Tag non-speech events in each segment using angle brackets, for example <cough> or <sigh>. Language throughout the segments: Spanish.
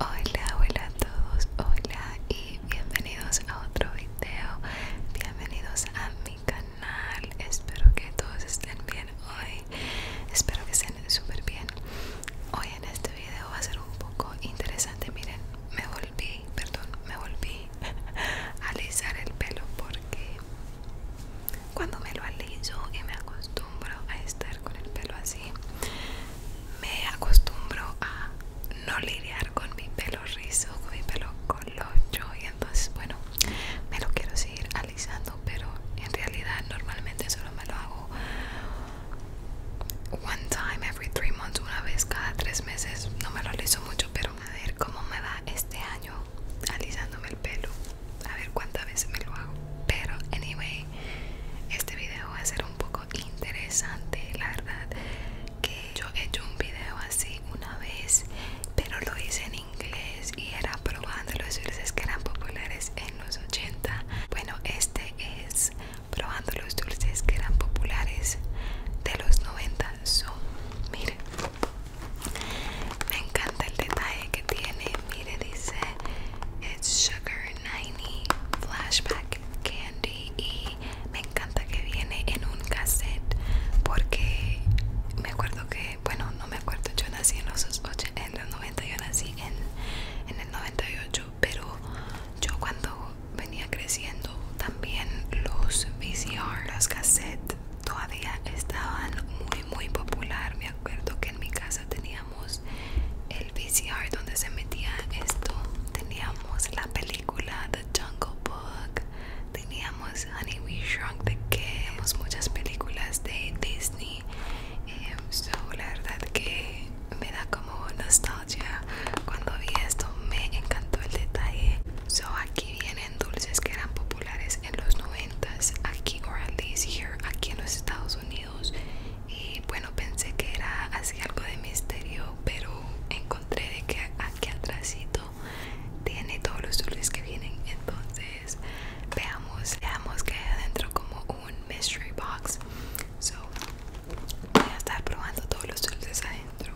Hola, hola a todos, hola y bienvenidos a otro video, bienvenidos a mi canal, espero que todos estén bien hoy, espero que estén súper bien. Hoy en este video va a ser un poco interesante, miren, me volví, perdón, me volví <laughs> a alisar el pelo porque cuando me lo aliso y me acostumbro a estar con el pelo así me acostumbro a no lidiar con mi pelo rizo con mi pelo colocho y entonces bueno me lo quiero seguir alisando pero en realidad normalmente solo me lo hago one time every three months una vez cada tres meses no me lo aliso mucho pero a ver cómo me va este año alisándome el pelo a ver cuántas veces me lo hago pero anyway este video va a ser un poco interesante la verdad que yo he hecho un video así una vez pero lo hice en inglés y era probando los dulces que eran populares en los 80 bueno este es probando los dulces que eran populares de los 90 miren me encanta el detalle que tiene le dice It's Sugar 90 Flashback Candy y me encanta que viene en un cassette porque me acuerdo que, bueno, no me acuerdo, yo nací en los, 80, en los 90, yo nací en, en el 98, pero yo cuando venía creciendo también los VCR, los cassettes todavía estaban muy muy popular, me acuerdo que en mi casa tenía el VCR donde se metía esto, teníamos la película The Jungle Book, teníamos Honey We Shrunk the Kid, muchas películas de Disney. Em, so, la verdad que me da como nostalgia cuando vi esto, me encantó el detalle. So, aquí vienen dulces que eran populares en los 90 aquí, o at here, aquí en los Estados Unidos. Y bueno, pensé que era así algo de misterio, pero encontré de que aquí atrásito tiene todos los dulces que vienen. Entonces, veamos, veamos que hay adentro como un mystery box. So, voy a estar probando todos los dulces adentro.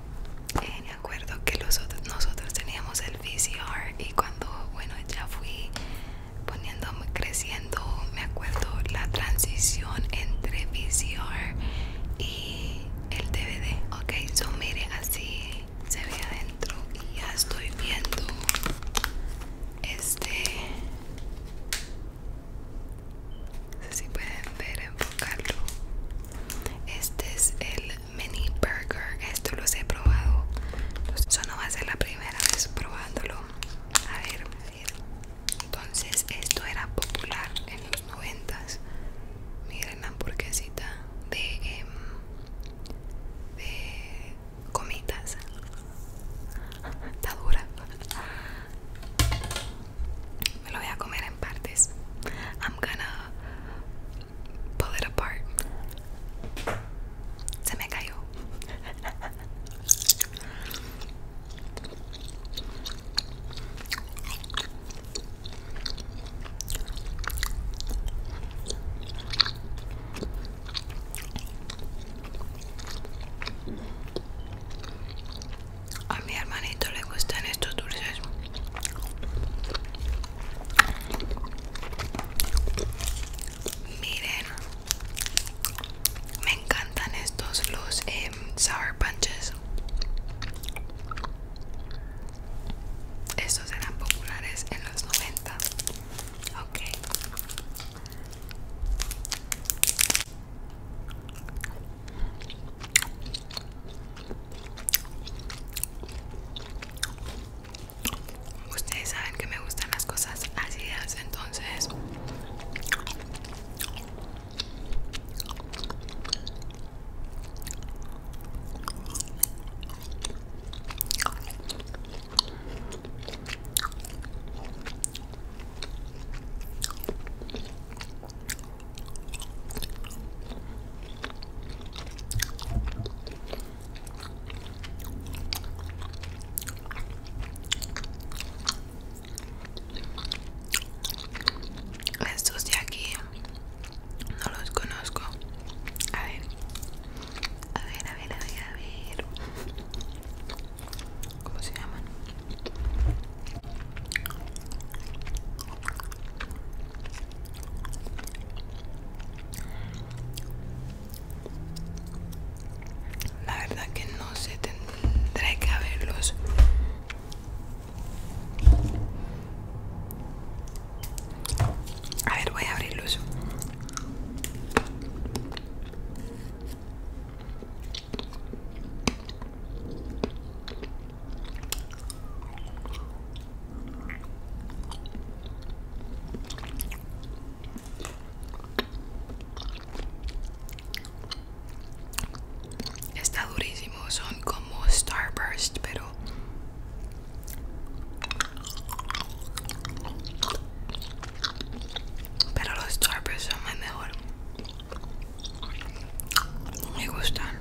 Eh, me acuerdo que los, nosotros teníamos el VCR y cuando, bueno, ya fui poniéndome creciendo me acuerdo la transición entre VCR y el DVD ok so miren así se ve adentro y ya estoy viendo este no sé si pueden ver enfocarlo este es el mini burger esto los he probado eso no va a ser la primera vez probándolo a ver, entonces esto era popular en los noventas miren la hamburguesita de em, de comitas está dura me lo voy a comer en partes I'm gonna pull it apart. Se me cayó. A mi hermanito le gustan estos dulces. Miren, me encantan estos los em, sour punches. Estos eran populares en los 90. Ok. Ustedes saben que me gustan las cosas ácidas, entonces estos de aquí no los conozco. A ver, a ver, a ver, a ver, ¿Cómo se llaman? La verdad que no se tendré que abrirlos a ver, voy a abrirlos. Está durísimo, son como Starburst, pero pero los Starburst son más mejor. Me gustan.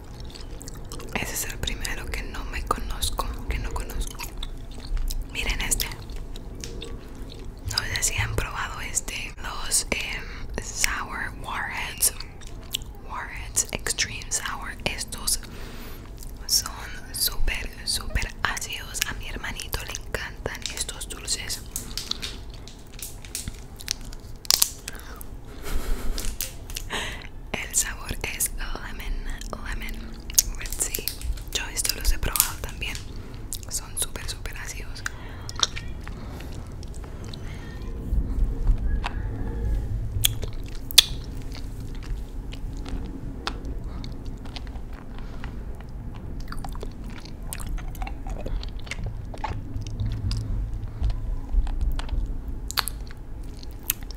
Ese es el primero que no me conozco, que no conozco. Miren este. No sé si han probado este. Los em, Sour Warheads. Warheads Extreme Sour. Estos son súper, súper ácidos. A mi hermanito le encantan estos dulces. El sabor es lemon, lemon, Yo esto los he probado también. Son súper, súper ácidos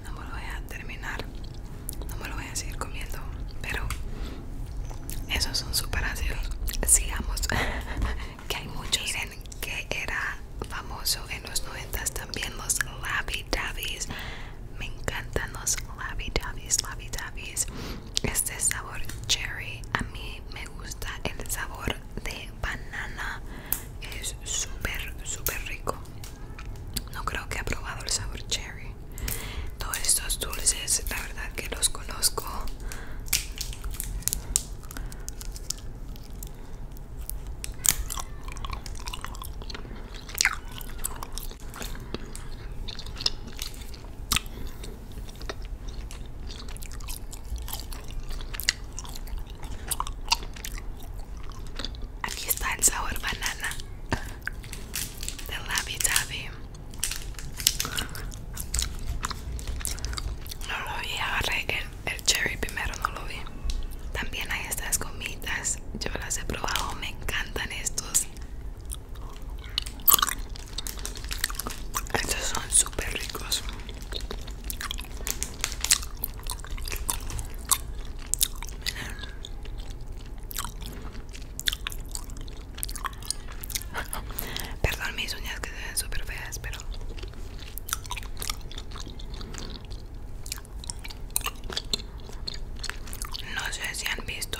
no me lo voy a terminar no me lo voy a seguir comiendo pero esos son super ácidos sigamos <laughs> que hay muchos miren que era famoso en los noventas también los Labi Dabbies me encantan los Labi davis, Labi Dabbies este sabor cherry a mí me gusta el sabor de banana es súper súper rico no creo que ha probado el sabor cherry todos estos dulces la verdad que los conozco Aquí está el sabor banana de Labi Tabi. No lo vi, agarré el, el cherry primero, no lo vi. También hay estas gomitas, yo las he probado, me encantan estos. Estos son súper ricos. <laughs> Perdón mis uñas que se ven super feas, pero... No sé si han visto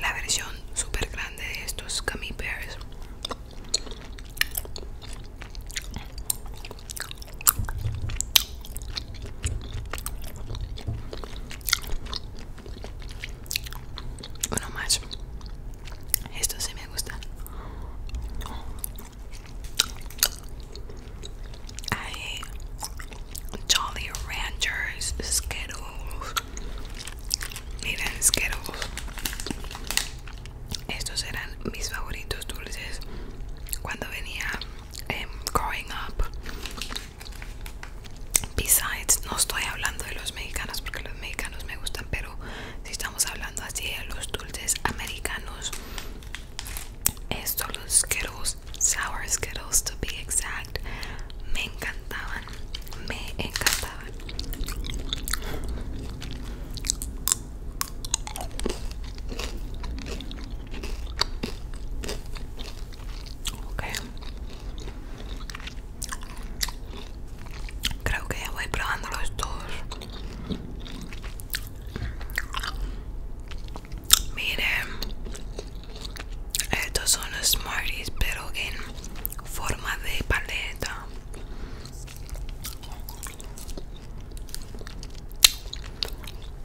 la versión super grande de estos gummy bears uno más. Esto sí me gusta. hay Jolly Ranchers, Skittles. Miren, Skittles. Estos eran mis favoritos dulces cuando venía em, growing up. Besides, no estoy hablando de los mexicanos porque los mexicanos me gustan, pero si estamos hablando así de los dulces americanos, estos los Skittles, Sour Skittles to be exact, me encantaban me encantaban. Creo que ya voy probando los dos. Miren, estos son los Smarties, pero en forma de paleta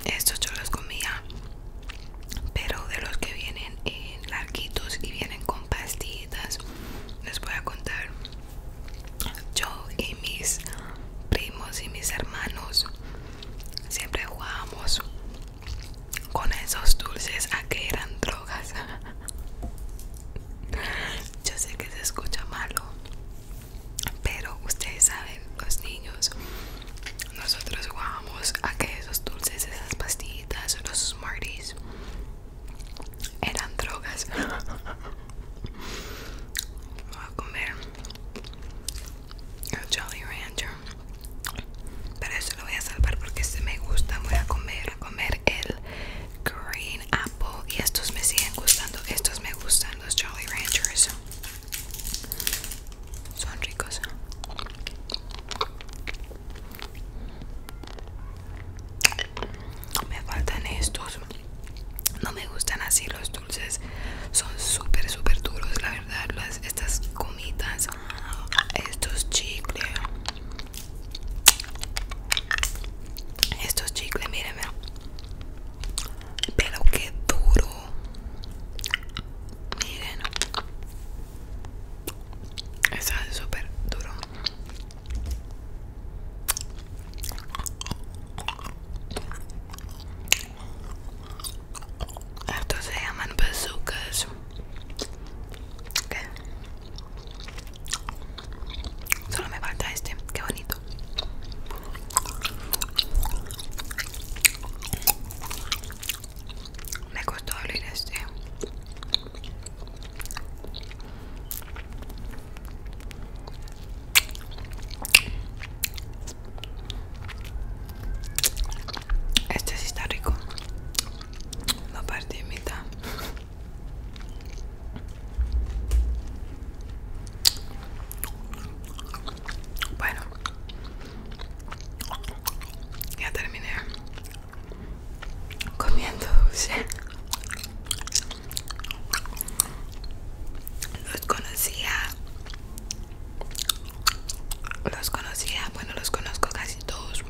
estos yo los comía pero de los que vienen en larguitos y vienen con pastitas les voy a contar yo y mis primos y mis hermanos siempre jugábamos con esos dulces a que eran drogas. <laughs> Yo sé que se escucha malo, pero ustedes saben, los niños, nosotros jugamos a que esos dulces, esas pastillitas, los Smarties eran drogas. Vamos <laughs> a comer el Jolly Rancher pero eso lo voy a salvar porque este me gusta. Voy a comer, a comer el Green Apple. Y estos me siguen gustando. Estos me gustan, los Jolly Ranchers. Son ricos. Me faltan estos. No me gustan así los dulces. Son súper, súper duros, la verdad. Las, estas comitas estos chicles estos chicles mírenme pero qué duro miren está súper duro esto se llaman bazookas. Solo me falta este, qué bonito. Me costó abrir este. Este sí está rico. Lo partí en mitad. Bueno, ya terminé comiendo dulce. Los conocía los conocía, bueno los conozco casi todos.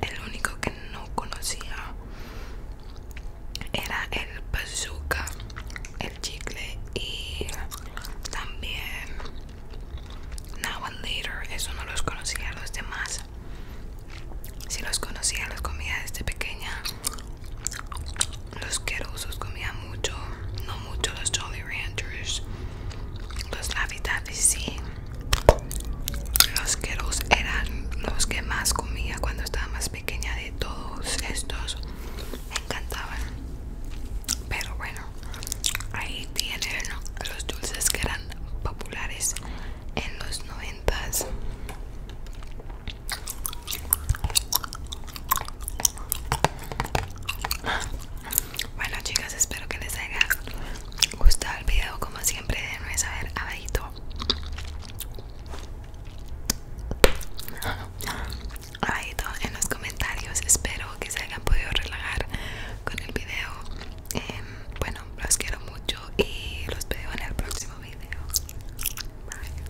El único que no conocía era el bazooka, el chicle y también Now and Later. Eso no los conocía los demás. Si los conocía los comía desde pequeña. Los querosos comía mucho, no mucho los Jolly Ranchers. Los Laffy los sí. Los eran los que más comía cuando estaba más pequeña de todos estos. Me encantaban. Pero bueno, ahí tienen los dulces que eran populares en los noventas. Bueno chicas, espero que les haya gustado el video. Como siempre, denme saber abajito. abadito en los comentarios. Espero que se hayan podido relajar con el video. Em, bueno, los quiero mucho y los veo en el próximo video. Bye.